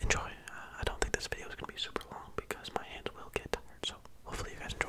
enjoy. Uh, I don't think this video is going to be super long because my hands will get tired, so hopefully you guys enjoy.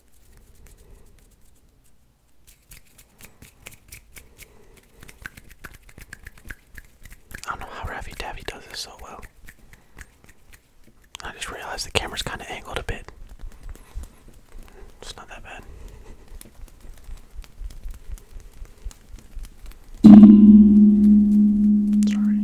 I don't know how Ravi Davy does this so well. I just realized the camera's kind of angled a bit. It's not that bad. Sorry.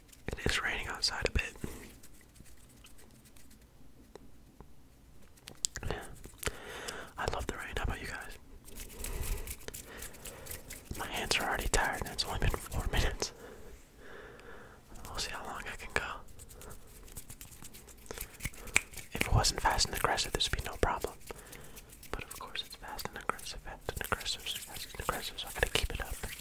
It is raining outside a bit. I love the rain. How about you guys? My hands are already tired, and it's only been four minutes. We'll see how long I can go. If it wasn't fast and aggressive, this would be no problem. But of course, it's fast and aggressive, fast and aggressive, fast and aggressive, I gotta keep it up.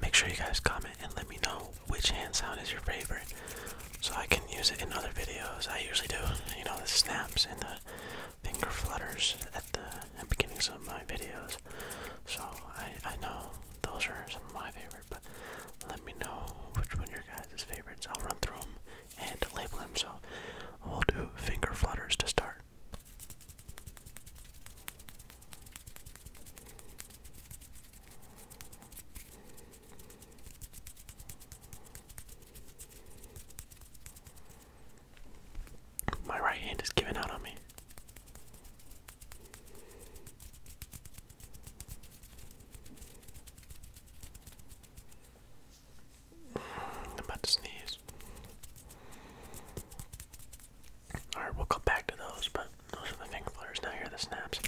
Make sure you guys comment and let me know which hand sound is your favorite so I can use it in other videos. I usually do, you know, the snaps and the finger flutters at the, at the beginnings of my videos. So I, I know those are some of my favorite, but let me know which one your guys' is favorites. I'll run through them and label them. So we'll do finger flutters to start. My right hand is giving out on me. I'm about to sneeze. Alright, we'll come back to those, but those are the finger flares. Now here are the snaps.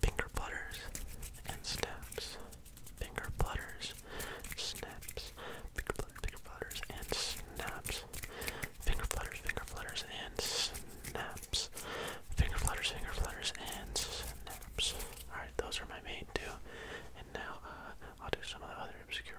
Finger flutters and snaps. Finger flutters, snaps. Finger flutters, finger flutters, and snaps. Finger flutters, finger flutters, and snaps. Finger flutters, finger flutters, and snaps. Alright, those are my main two. And now uh, I'll do some of the other obscure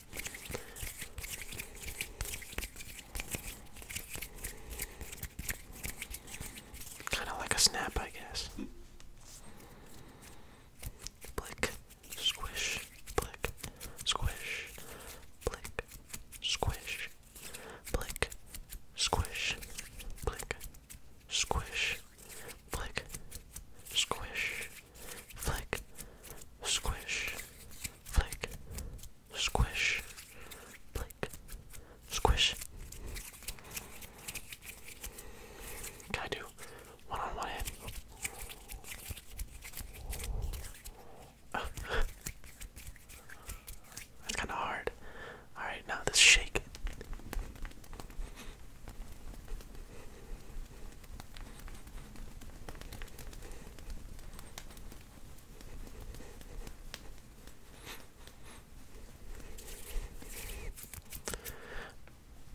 Kind of like a snap, I guess. Blick, squish, blick, squish, blick, squish, blick, squish, blick, squish, blick, squish, flick, squish, flick, squish, flick, squish. Can I do one on one That's kind of hard. Alright, now let's shake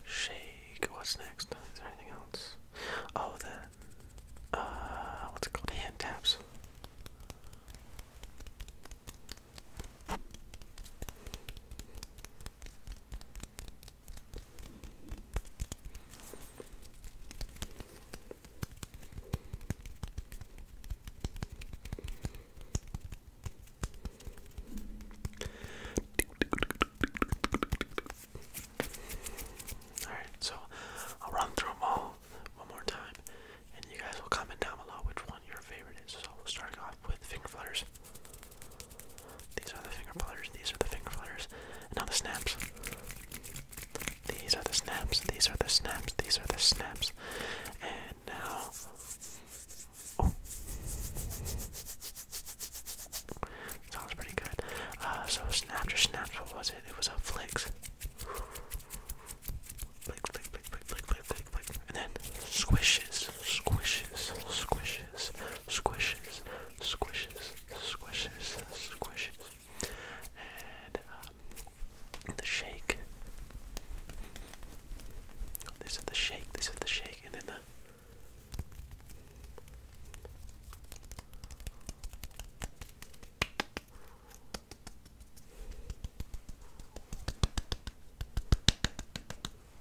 Shake. What's next? Is there anything else? Oh, the uh, what's called? Hand taps. Alright, so I'll run through them all one more time, and you guys will comment down below which one your favorite is. So we will start off with finger flutters. These are the finger flutters. These are the finger flutters. And now the snaps. These are the snaps. These are the snaps. These are the snaps. And now. Oh. Sounds pretty good. Uh, so snap or snaps, what was it? It was a flicks. Flick, flick, flick, flick, flick, flick, flick, flick, and then squishes, squishes, squishes, squishes, squishes, squishes, squishes, and um, the shake. They said the shake. They said the shake, and then the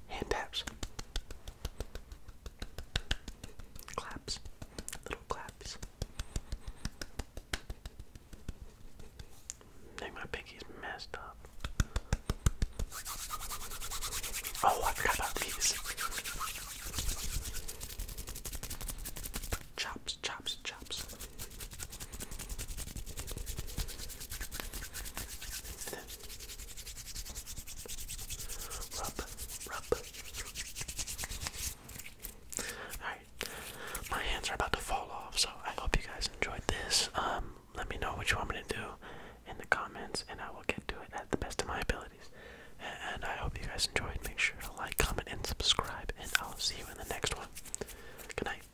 hand taps, claps, little claps. I my pinky's messed up. Oh, I forgot about these. Chops, chops, chops my hands are about to fall off, so I hope you guys enjoyed this. Um, let me know what you want me to do in the comments, and I will get to it at the best of my abilities. And I hope you guys enjoyed. Make sure to like, comment, and subscribe, and I'll see you in the next one. Good night.